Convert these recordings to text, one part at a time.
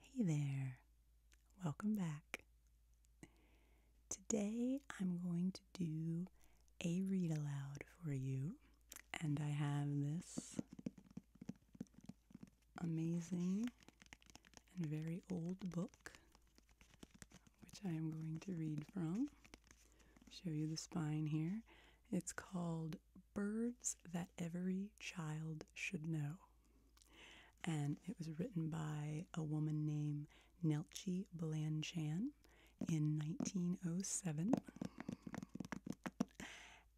Hey there, welcome back. Today I'm going to do a read aloud for you, and I have this amazing and very old book which I am going to read from. Show you the spine here. It's called Birds That Every Child Should Know. And it was written by a woman named Nelchi Blanchan in 1907.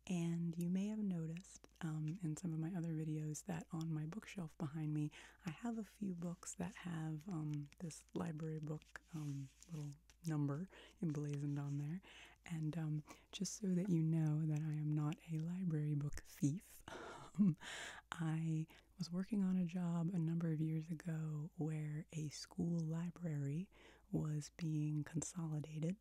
And you may have noticed um, in some of my other videos that on my bookshelf behind me, I have a few books that have um, this library book um, little number emblazoned on there. And just so that you know that I am not a library book thief. Um, I was working on a job a number of years ago where a school library was being consolidated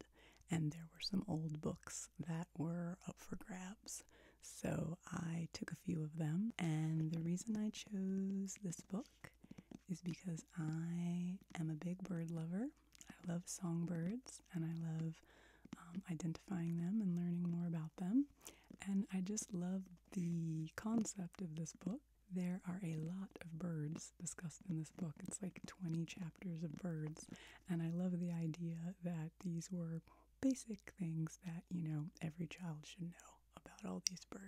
and there were some old books that were up for grabs. So I took a few of them, and the reason I chose this book is because I am a big bird lover I love songbirds and I love um, identifying them and learning more about them. And I just love the concept of this book. There are a lot of birds discussed in this book. It's like 20 chapters of birds. And I love the idea that these were basic things that, you know, every child should know about all these birds.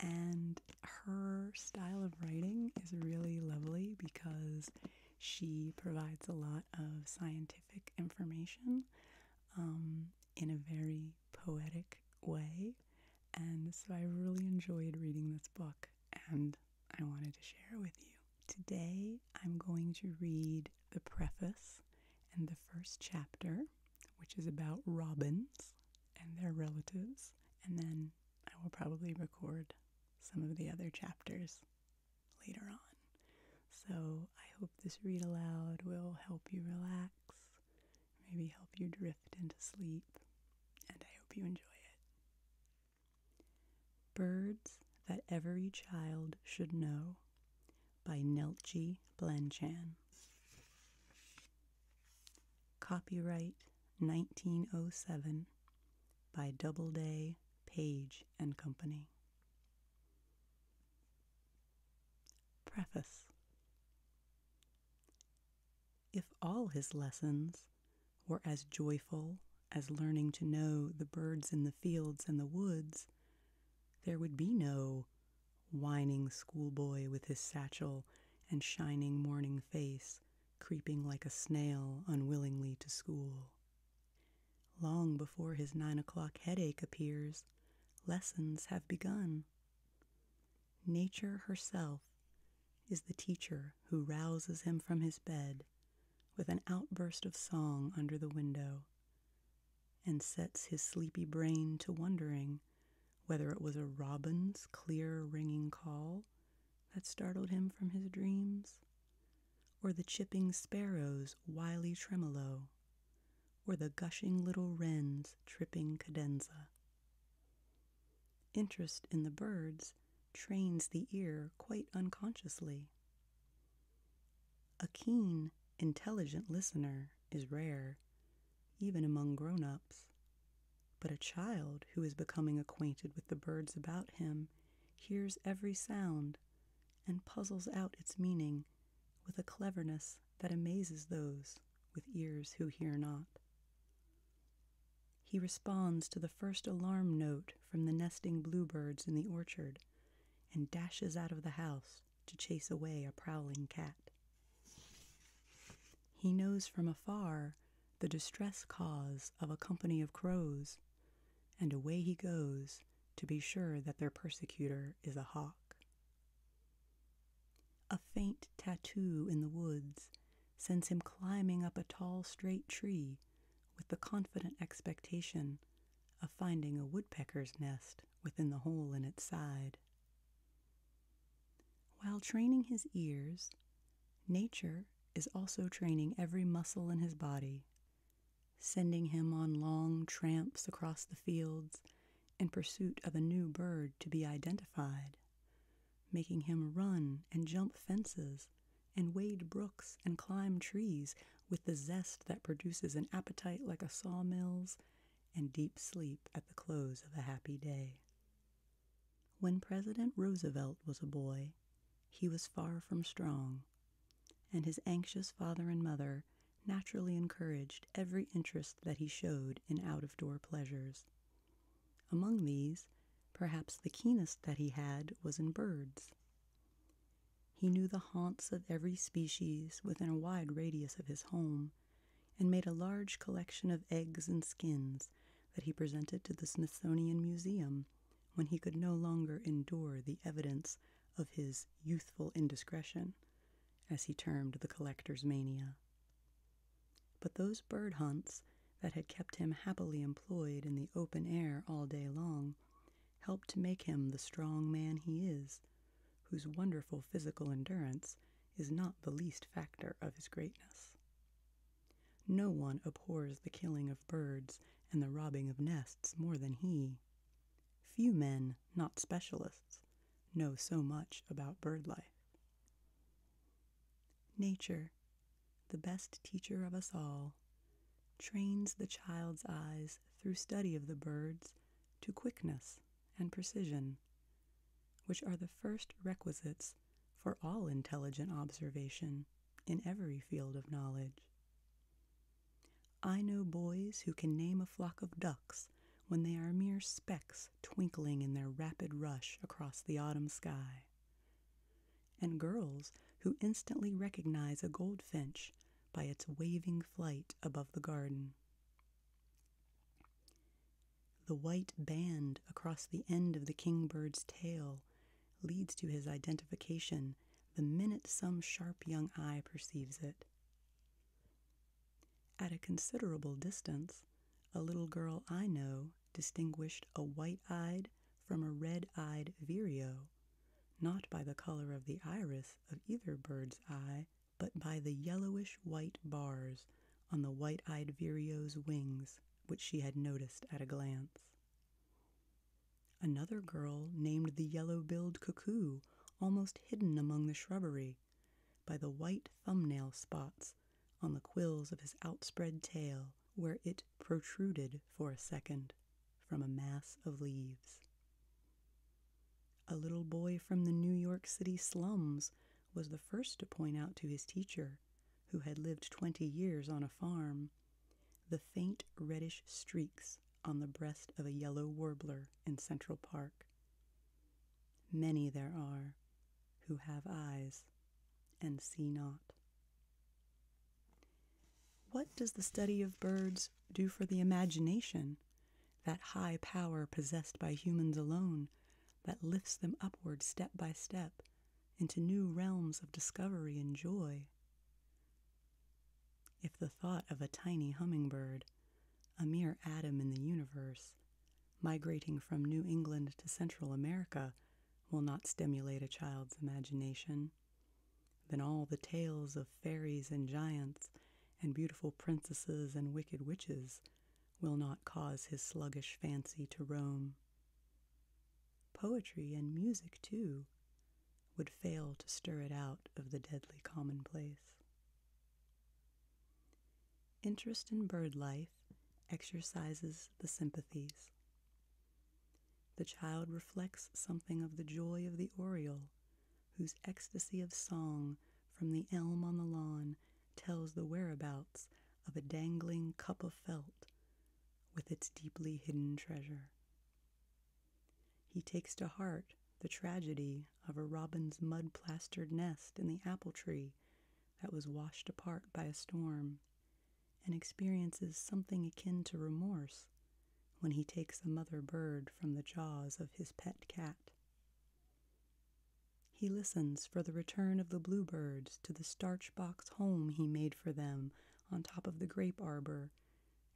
And her style of writing is really lovely because she provides a lot of scientific information um, in a very poetic way. And so I really enjoyed reading this book and I wanted to share it with you. Today I'm going to read the preface and the first chapter, which is about robins and their relatives. And then I will probably record some of the other chapters later on. So I hope this read aloud will help you relax, maybe help you drift into sleep, and I hope you enjoy it. Birds That Every Child Should Know by Nelchi Blanchan. Copyright 1907 by Doubleday Page and Company. Preface If all his lessons were as joyful as learning to know the birds in the fields and the woods, there would be no whining schoolboy with his satchel and shining morning face creeping like a snail unwillingly to school. Long before his nine o'clock headache appears, lessons have begun. Nature herself is the teacher who rouses him from his bed with an outburst of song under the window and sets his sleepy brain to wondering whether it was a robin's clear ringing call that startled him from his dreams, or the chipping sparrow's wily tremolo, or the gushing little wren's tripping cadenza. Interest in the birds trains the ear quite unconsciously. A keen, intelligent listener is rare, even among grown ups, but a child who is becoming acquainted with the birds about him hears every sound and puzzles out its meaning with a cleverness that amazes those with ears who hear not. He responds to the first alarm note from the nesting bluebirds in the orchard and dashes out of the house to chase away a prowling cat. He knows from afar the distress cause of a company of crows, and away he goes to be sure that their persecutor is a hawk. A faint tattoo in the woods sends him climbing up a tall, straight tree with the confident expectation of finding a woodpecker's nest within the hole in its side. While training his ears, Nature is also training every muscle in his body, sending him on long tramps across the fields in pursuit of a new bird to be identified, making him run and jump fences and wade brooks and climb trees with the zest that produces an appetite like a sawmill's and deep sleep at the close of a happy day. When President Roosevelt was a boy, he was far from strong, and his anxious father and mother naturally encouraged every interest that he showed in out of door pleasures. Among these, perhaps the keenest that he had was in birds. He knew the haunts of every species within a wide radius of his home and made a large collection of eggs and skins that he presented to the Smithsonian Museum when he could no longer endure the evidence of his youthful indiscretion, as he termed the collector's mania. But those bird hunts that had kept him happily employed in the open air all day long helped to make him the strong man he is, whose wonderful physical endurance is not the least factor of his greatness. No one abhors the killing of birds and the robbing of nests more than he. Few men, not specialists, know so much about bird life. Nature, the best teacher of us all, trains the child's eyes through study of the birds to quickness and precision, which are the first requisites for all intelligent observation in every field of knowledge. I know boys who can name a flock of ducks when they are mere specks twinkling in their rapid rush across the autumn sky, and girls who instantly recognize a goldfinch by its waving flight above the garden. The white band across the end of the kingbird's tail leads to his identification the minute some sharp young eye perceives it. At a considerable distance, a little girl I know distinguished a white eyed from a red eyed vireo, not by the color of the iris of either bird's eye, but by the yellowish white bars on the white eyed vireo's wings, which she had noticed at a glance. Another girl named the yellow-billed cuckoo, almost hidden among the shrubbery, by the white thumbnail spots on the quills of his outspread tail where it protruded for a second from a mass of leaves. A little boy from the New York City slums was the first to point out to his teacher who had lived twenty years on a farm, the faint reddish streaks on the breast of a yellow warbler in Central Park. Many there are who have eyes and see not. What does the study of birds do for the imagination, that high power possessed by humans alone, that lifts them upward step by step, into new realms of discovery and joy. If the thought of a tiny hummingbird, a mere atom in the universe, migrating from New England to Central America will not stimulate a child's imagination, then all the tales of fairies and giants and beautiful princesses and wicked witches will not cause his sluggish fancy to roam poetry and music too, would fail to stir it out of the deadly commonplace. Interest in bird life exercises the sympathies. The child reflects something of the joy of the oriole, whose ecstasy of song from the elm on the lawn tells the whereabouts of a dangling cup of felt with its deeply hidden treasure. He takes to heart the tragedy of a robin's mud plastered nest in the apple tree that was washed apart by a storm, and experiences something akin to remorse when he takes a mother bird from the jaws of his pet cat. He listens for the return of the bluebirds to the starch box home he made for them on top of the grape arbor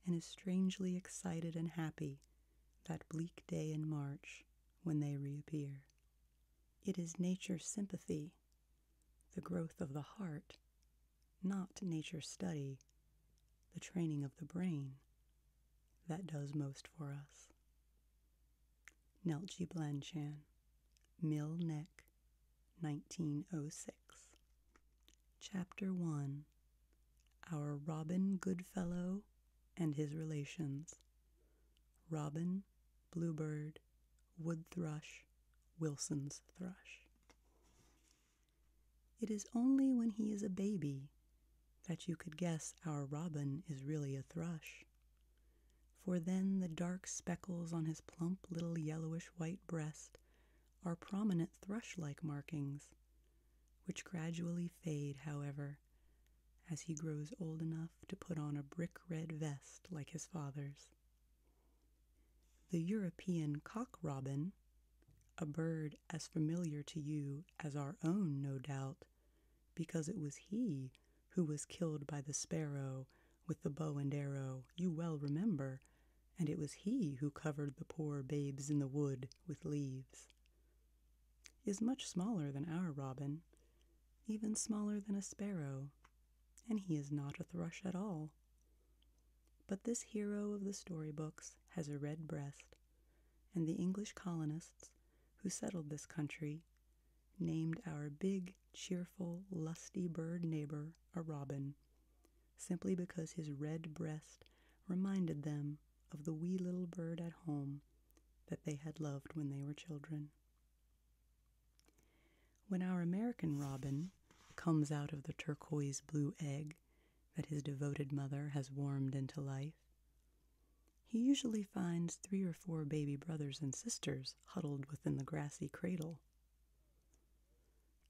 and is strangely excited and happy that bleak day in March when they reappear. It is nature's sympathy, the growth of the heart, not nature's study, the training of the brain, that does most for us. Neltje Blanchan, Mill Neck, 1906. Chapter 1 Our Robin Goodfellow and His Relations. Robin, Bluebird, Wood Thrush, Wilson's Thrush. It is only when he is a baby that you could guess our robin is really a thrush for then the dark speckles on his plump little yellowish white breast are prominent thrush like markings, which gradually fade, however, as he grows old enough to put on a brick red vest like his father's. The European cock robin, a bird as familiar to you as our own, no doubt, because it was he who was killed by the sparrow with the bow and arrow, you well remember, and it was he who covered the poor babes in the wood with leaves. Is much smaller than our robin, even smaller than a sparrow, and he is not a thrush at all. But this hero of the story books has a red breast, and the English colonists who settled this country named our big, cheerful, lusty bird neighbor a robin, simply because his red breast reminded them of the wee little bird at home that they had loved when they were children. When our American robin comes out of the turquoise blue egg that his devoted mother has warmed into life, he usually finds three or four baby brothers and sisters huddled within the grassy cradle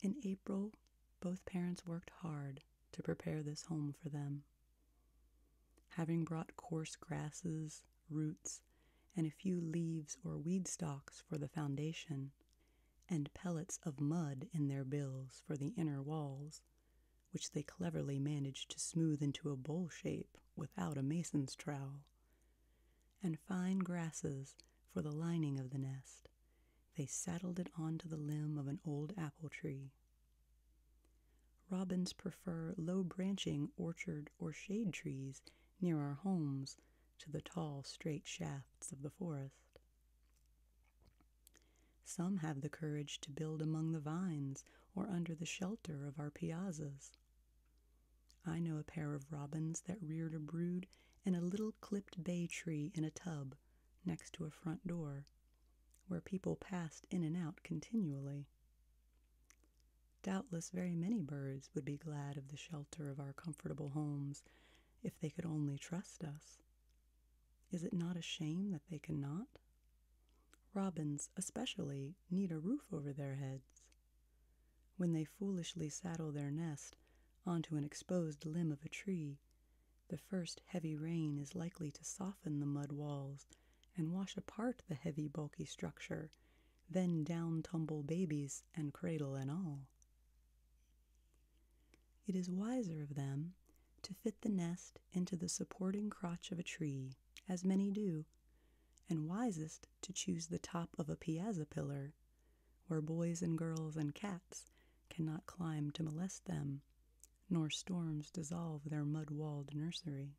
in April, both parents worked hard to prepare this home for them. Having brought coarse grasses, roots, and a few leaves or weed stalks for the foundation, and pellets of mud in their bills for the inner walls, which they cleverly managed to smooth into a bowl shape without a mason's trowel and fine grasses for the lining of the nest. They saddled it onto the limb of an old apple tree. Robins prefer low branching orchard or shade trees near our homes to the tall, straight shafts of the forest. Some have the courage to build among the vines or under the shelter of our piazzas. I know a pair of robins that reared a brood in a little clipped bay tree in a tub next to a front door, where people passed in and out continually. Doubtless very many birds would be glad of the shelter of our comfortable homes if they could only trust us. Is it not a shame that they cannot? Robins, especially, need a roof over their heads. When they foolishly saddle their nest onto an exposed limb of a tree, the first heavy rain is likely to soften the mud walls and wash apart the heavy, bulky structure, then down tumble babies and cradle and all. It is wiser of them to fit the nest into the supporting crotch of a tree, as many do, and wisest to choose the top of a piazza pillar where boys and girls and cats cannot climb to molest them, nor storms dissolve their mud walled nursery.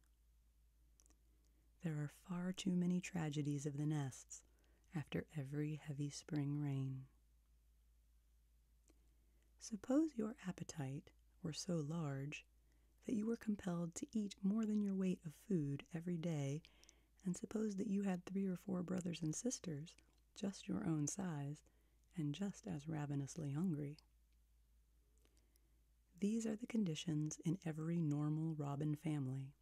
There are far too many tragedies of the nests after every heavy spring rain. Suppose your appetite were so large that you were compelled to eat more than your weight of food every day and suppose that you had three or four brothers and sisters, just your own size, and just as ravenously hungry. These are the conditions in every normal robin family,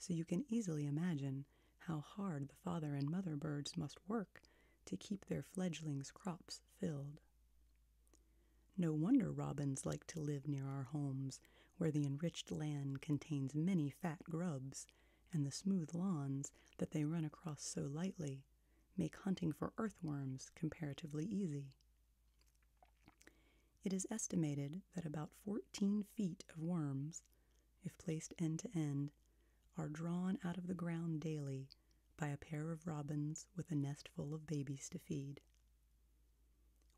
so you can easily imagine how hard the father and mother birds must work to keep their fledglings' crops filled. No wonder robins like to live near our homes where the enriched land contains many fat grubs, and the smooth lawns that they run across so lightly make hunting for earthworms comparatively easy. It is estimated that about 14 feet of worms, if placed end to end, are drawn out of the ground daily by a pair of robins with a nest full of babies to feed.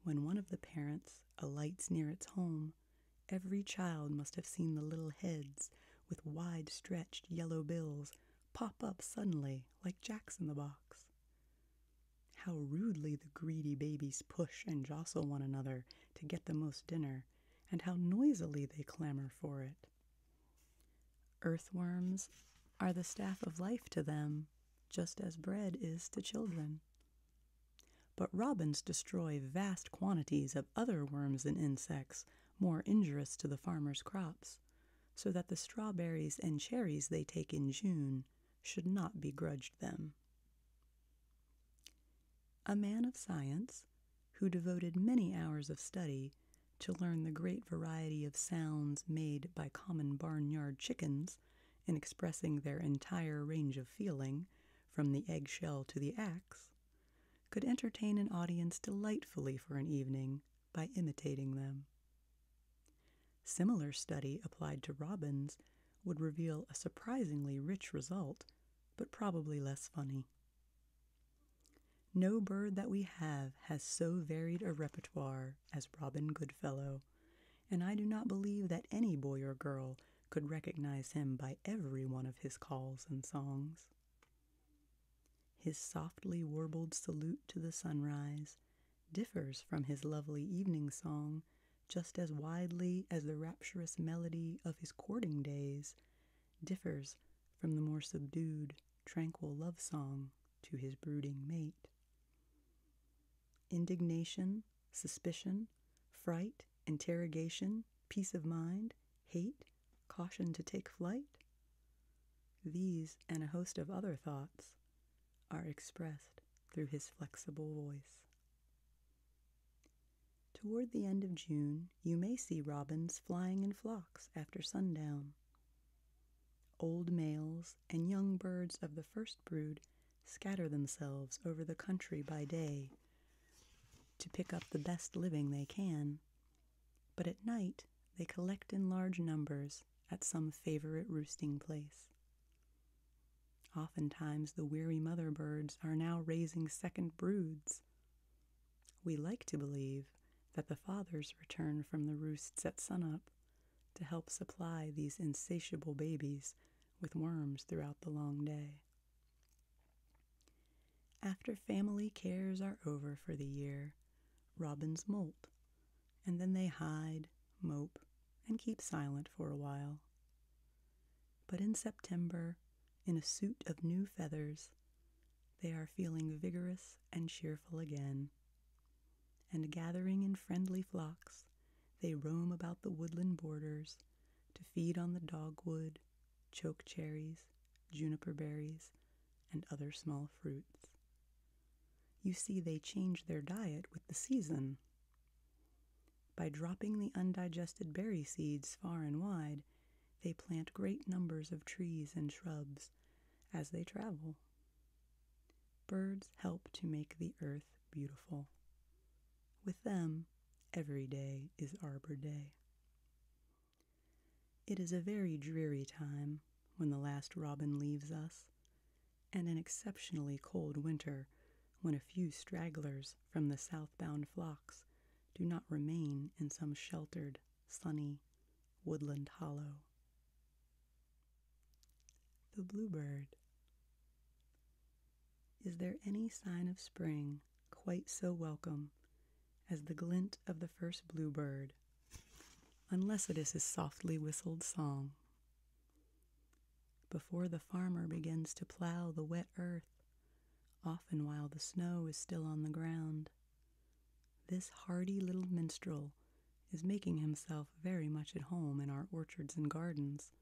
When one of the parents alights near its home, every child must have seen the little heads with wide stretched yellow bills pop up suddenly like jacks in the box. How rudely the greedy babies push and jostle one another to get the most dinner, and how noisily they clamor for it. Earthworms are the staff of life to them, just as bread is to children. But robins destroy vast quantities of other worms and insects more injurious to the farmer's crops, so that the strawberries and cherries they take in June should not be grudged them. A man of science, who devoted many hours of study to learn the great variety of sounds made by common barnyard chickens, in expressing their entire range of feeling, from the eggshell to the axe, could entertain an audience delightfully for an evening by imitating them. Similar study applied to robins would reveal a surprisingly rich result, but probably less funny. No bird that we have has so varied a repertoire as Robin Goodfellow, and I do not believe that any boy or girl could recognize him by every one of his calls and songs. His softly warbled salute to the sunrise differs from his lovely evening song just as widely as the rapturous melody of his courting days differs from the more subdued, tranquil love song to his brooding mate. Indignation suspicion, fright, interrogation, peace of mind, hate, caution to take flight? These and a host of other thoughts are expressed through his flexible voice. Toward the end of June, you may see robins flying in flocks after sundown. Old males and young birds of the first brood scatter themselves over the country by day to pick up the best living they can, but at night they collect in large numbers at some favorite roosting place. Oftentimes, the weary mother birds are now raising second broods. We like to believe that the fathers return from the roosts at sunup to help supply these insatiable babies with worms throughout the long day. After family cares are over for the year, robins molt, and then they hide, mope, and keep silent for a while. But in September, in a suit of new feathers, they are feeling vigorous and cheerful again and gathering in friendly flocks, they roam about the woodland borders to feed on the dogwood, choke cherries, juniper berries, and other small fruits. You see, they change their diet with the season. By dropping the undigested berry seeds far and wide, they plant great numbers of trees and shrubs as they travel. Birds help to make the earth beautiful. With them, every day is Arbor Day. It is a very dreary time when the last robin leaves us, and an exceptionally cold winter when a few stragglers from the southbound flocks do not remain in some sheltered, sunny, woodland hollow. The bluebird. Is there any sign of spring quite so welcome as the glint of the first bluebird, unless it is his softly whistled song? Before the farmer begins to plow the wet earth, often while the snow is still on the ground, this hardy little minstrel is making himself very much at home in our orchards and gardens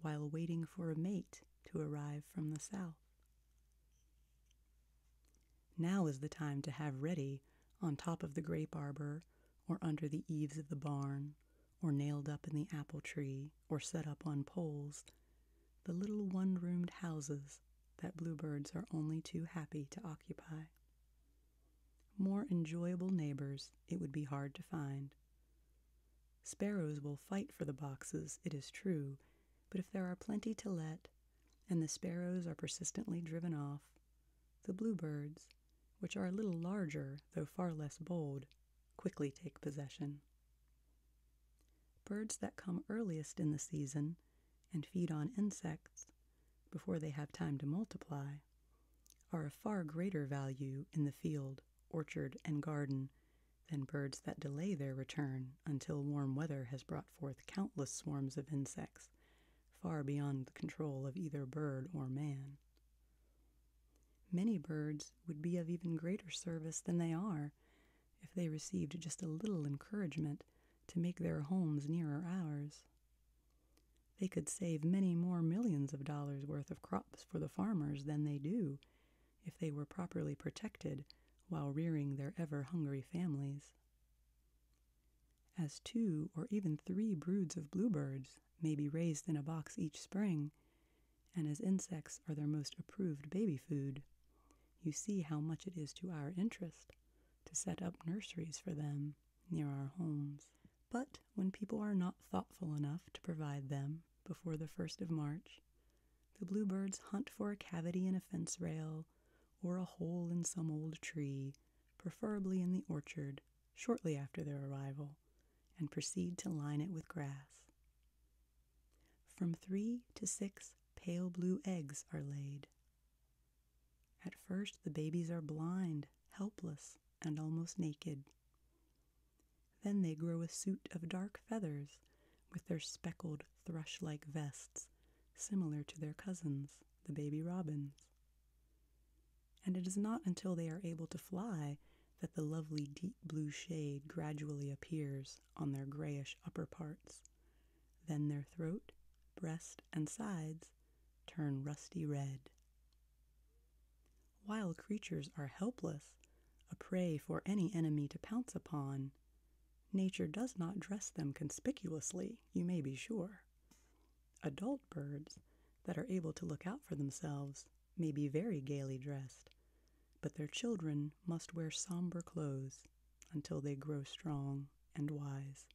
while waiting for a mate to arrive from the south. Now is the time to have ready, on top of the grape arbor, or under the eaves of the barn, or nailed up in the apple tree, or set up on poles, the little one roomed houses that bluebirds are only too happy to occupy. More enjoyable neighbors it would be hard to find. Sparrows will fight for the boxes, it is true, but if there are plenty to let, and the sparrows are persistently driven off, the bluebirds, which are a little larger though far less bold, quickly take possession. Birds that come earliest in the season and feed on insects before they have time to multiply are of far greater value in the field, orchard, and garden than birds that delay their return until warm weather has brought forth countless swarms of insects, far beyond the control of either bird or man. Many birds would be of even greater service than they are if they received just a little encouragement to make their homes nearer ours. They could save many more millions of dollars worth of crops for the farmers than they do if they were properly protected while rearing their ever hungry families. As two or even three broods of bluebirds may be raised in a box each spring, and as insects are their most approved baby food, you see how much it is to our interest to set up nurseries for them near our homes. But when people are not thoughtful enough to provide them before the 1st of March, the bluebirds hunt for a cavity in a fence rail or a hole in some old tree, preferably in the orchard, shortly after their arrival, and proceed to line it with grass. From three to six pale blue eggs are laid. At first, the babies are blind, helpless, and almost naked. Then they grow a suit of dark feathers with their speckled thrush like vests, similar to their cousins, the baby robins. And it is not until they are able to fly that the lovely deep blue shade gradually appears on their grayish upper parts. Then their throat, breast, and sides turn rusty red. While creatures are helpless, a prey for any enemy to pounce upon. Nature does not dress them conspicuously, you may be sure. Adult birds that are able to look out for themselves may be very gaily dressed, but their children must wear somber clothes until they grow strong and wise.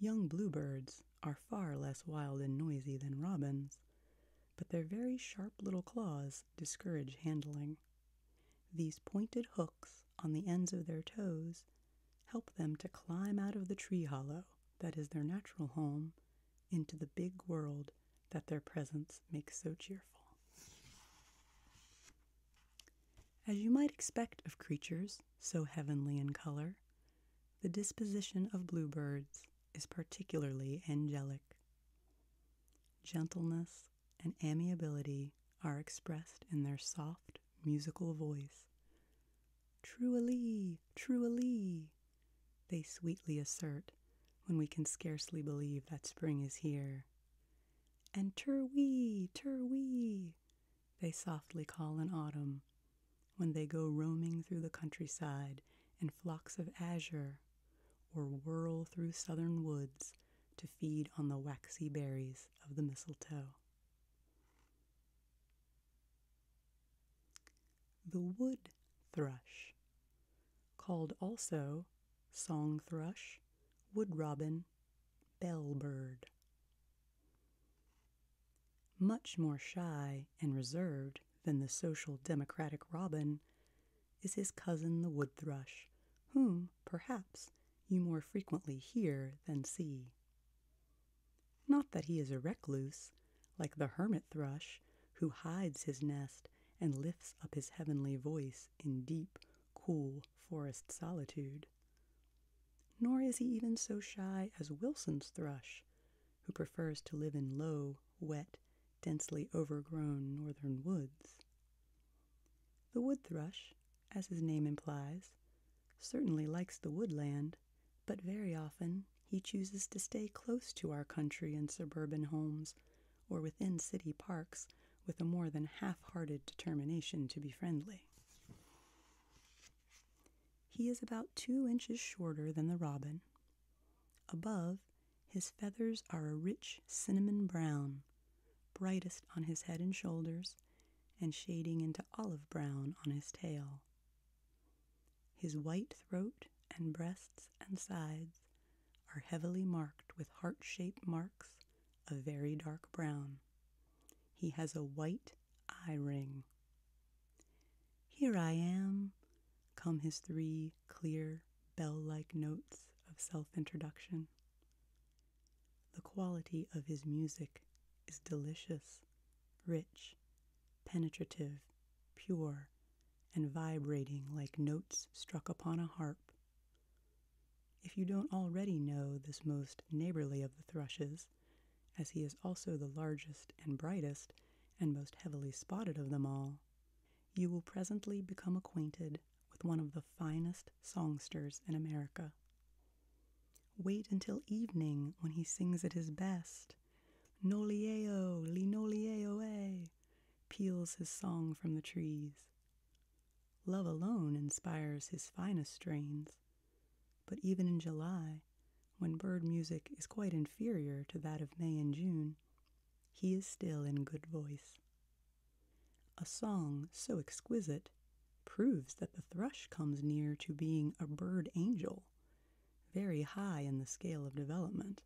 Young bluebirds are far less wild and noisy than robins, but their very sharp little claws discourage handling. These pointed hooks on the ends of their toes help them to climb out of the tree hollow that is their natural home into the big world that their presence makes so cheerful. As you might expect of creatures so heavenly in color, the disposition of bluebirds is particularly angelic. Gentleness and amiability are expressed in their soft musical voice. Truly, truly, they sweetly assert when we can scarcely believe that spring is here. And turwee, turwee, they softly call in autumn when they go roaming through the countryside in flocks of azure, or whirl through southern woods to feed on the waxy berries of the mistletoe. The wood thrush, called also song thrush, wood robin, bell bird, much more shy and reserved than the social democratic robin is his cousin the wood thrush, whom, perhaps, you more frequently hear than see. Not that he is a recluse, like the hermit thrush, who hides his nest and lifts up his heavenly voice in deep, cool forest solitude. Nor is he even so shy as Wilson's thrush, who prefers to live in low, wet, densely overgrown northern woods. The wood thrush, as his name implies, certainly likes the woodland, but very often he chooses to stay close to our country and suburban homes or within city parks with a more than half hearted determination to be friendly. He is about two inches shorter than the robin. Above, his feathers are a rich cinnamon brown, brightest on his head and shoulders, and shading into olive brown on his tail. His white throat and breasts and sides are heavily marked with heart shaped marks of very dark brown. He has a white eye ring. Here I am, come his three clear, bell like notes of self introduction. The quality of his music is delicious, rich, penetrative, pure, and vibrating like notes struck upon a harp. If you don't already know this most neighborly of the thrushes, as he is also the largest and brightest and most heavily spotted of them all, you will presently become acquainted with one of the finest songsters in America. Wait until evening when he sings at his best. Nolieo, linolieoe, eh, peals his song from the trees. Love alone inspires his finest strains, but even in July, when bird music is quite inferior to that of May and June, he is still in good voice. A song so exquisite proves that the thrush comes near to being a bird angel, very high in the scale of development,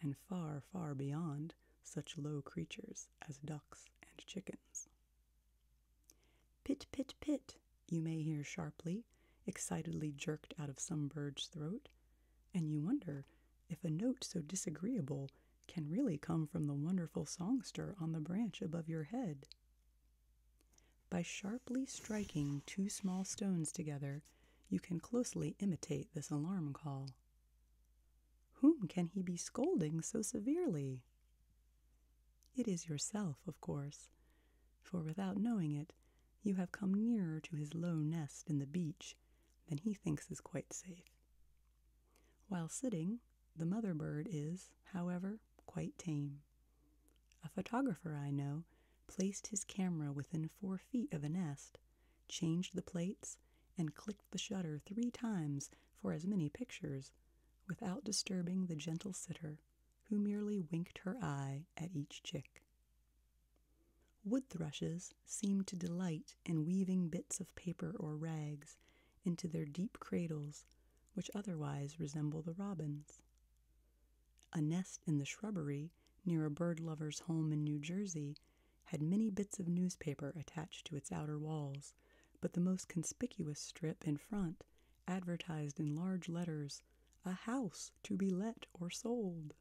and far, far beyond such low creatures as ducks and chickens. Pit, pit, pit, you may hear sharply, excitedly jerked out of some bird's throat, and you wonder if a note so disagreeable can really come from the wonderful songster on the branch above your head. By sharply striking two small stones together, you can closely imitate this alarm call. Whom can he be scolding so severely? It is yourself, of course, for without knowing it, you have come nearer to his low nest in the beech than he thinks is quite safe. While sitting, the mother bird is, however, quite tame. A photographer I know placed his camera within four feet of a nest, changed the plates, and clicked the shutter three times for as many pictures without disturbing the gentle sitter who merely winked her eye at each chick. Wood thrushes seem to delight in weaving bits of paper or rags into their deep cradles, which otherwise resemble the robin's. A nest in the shrubbery near a bird lover's home in New Jersey had many bits of newspaper attached to its outer walls, but the most conspicuous strip in front advertised in large letters, A house to be let or sold.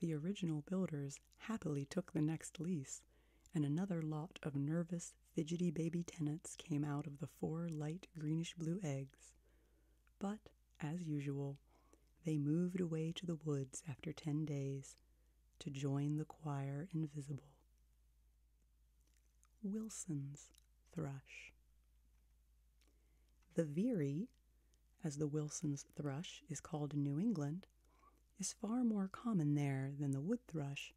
The original builders happily took the next lease, and another lot of nervous, fidgety baby tenants came out of the four light greenish blue eggs. But, as usual, they moved away to the woods after ten days to join the choir invisible. Wilson's thrush. The veery, as the Wilson's thrush is called in New England, is far more common there than the wood thrush,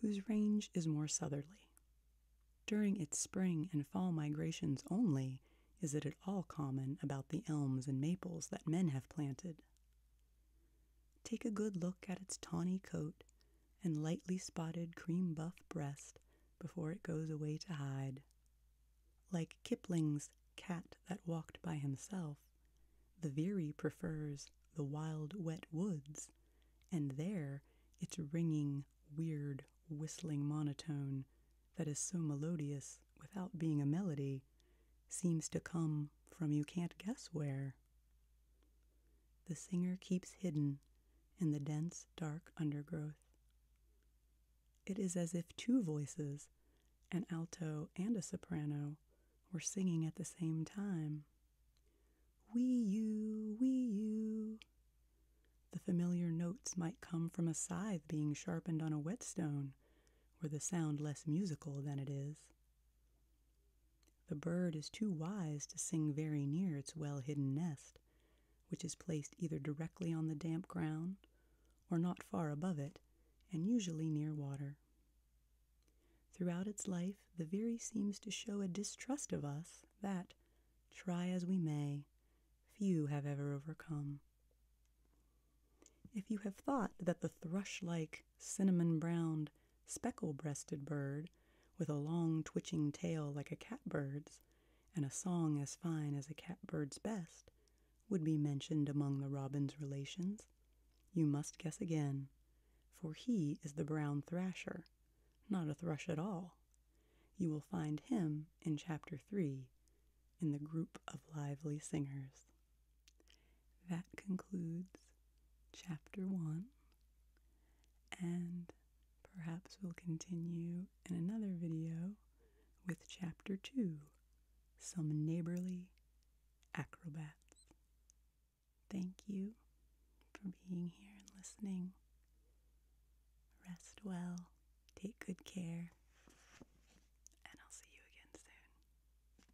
whose range is more southerly. During its spring and fall migrations only is it at all common about the elms and maples that men have planted. Take a good look at its tawny coat and lightly spotted cream buff breast before it goes away to hide. Like Kipling's Cat That Walked by Himself, the veery prefers the wild, wet woods, and there its ringing, weird, whistling monotone that is so melodious without being a melody seems to come from you can't guess where the singer keeps hidden in the dense, dark undergrowth. It is as if two voices, an alto and a soprano, were singing at the same time. Wee you, wee you. The familiar notes might come from a scythe being sharpened on a whetstone, were the sound less musical than it is. The bird is too wise to sing very near its well hidden nest, which is placed either directly on the damp ground or not far above it, and usually near water. Throughout its life, the veery seems to show a distrust of us that, try as we may, few have ever overcome. If you have thought that the thrush like cinnamon browned, speckle breasted bird with a long twitching tail like a catbird's and a song as fine as a catbird's best would be mentioned among the robin's relations. You must guess again, for he is the brown thrasher, not a thrush at all. You will find him in Chapter 3 in the group of lively singers. That concludes chapter one, and perhaps we'll continue in another video with chapter two Some Neighborly Acrobats. Thank you for being here and listening. Rest well, take good care, and I'll see you again soon.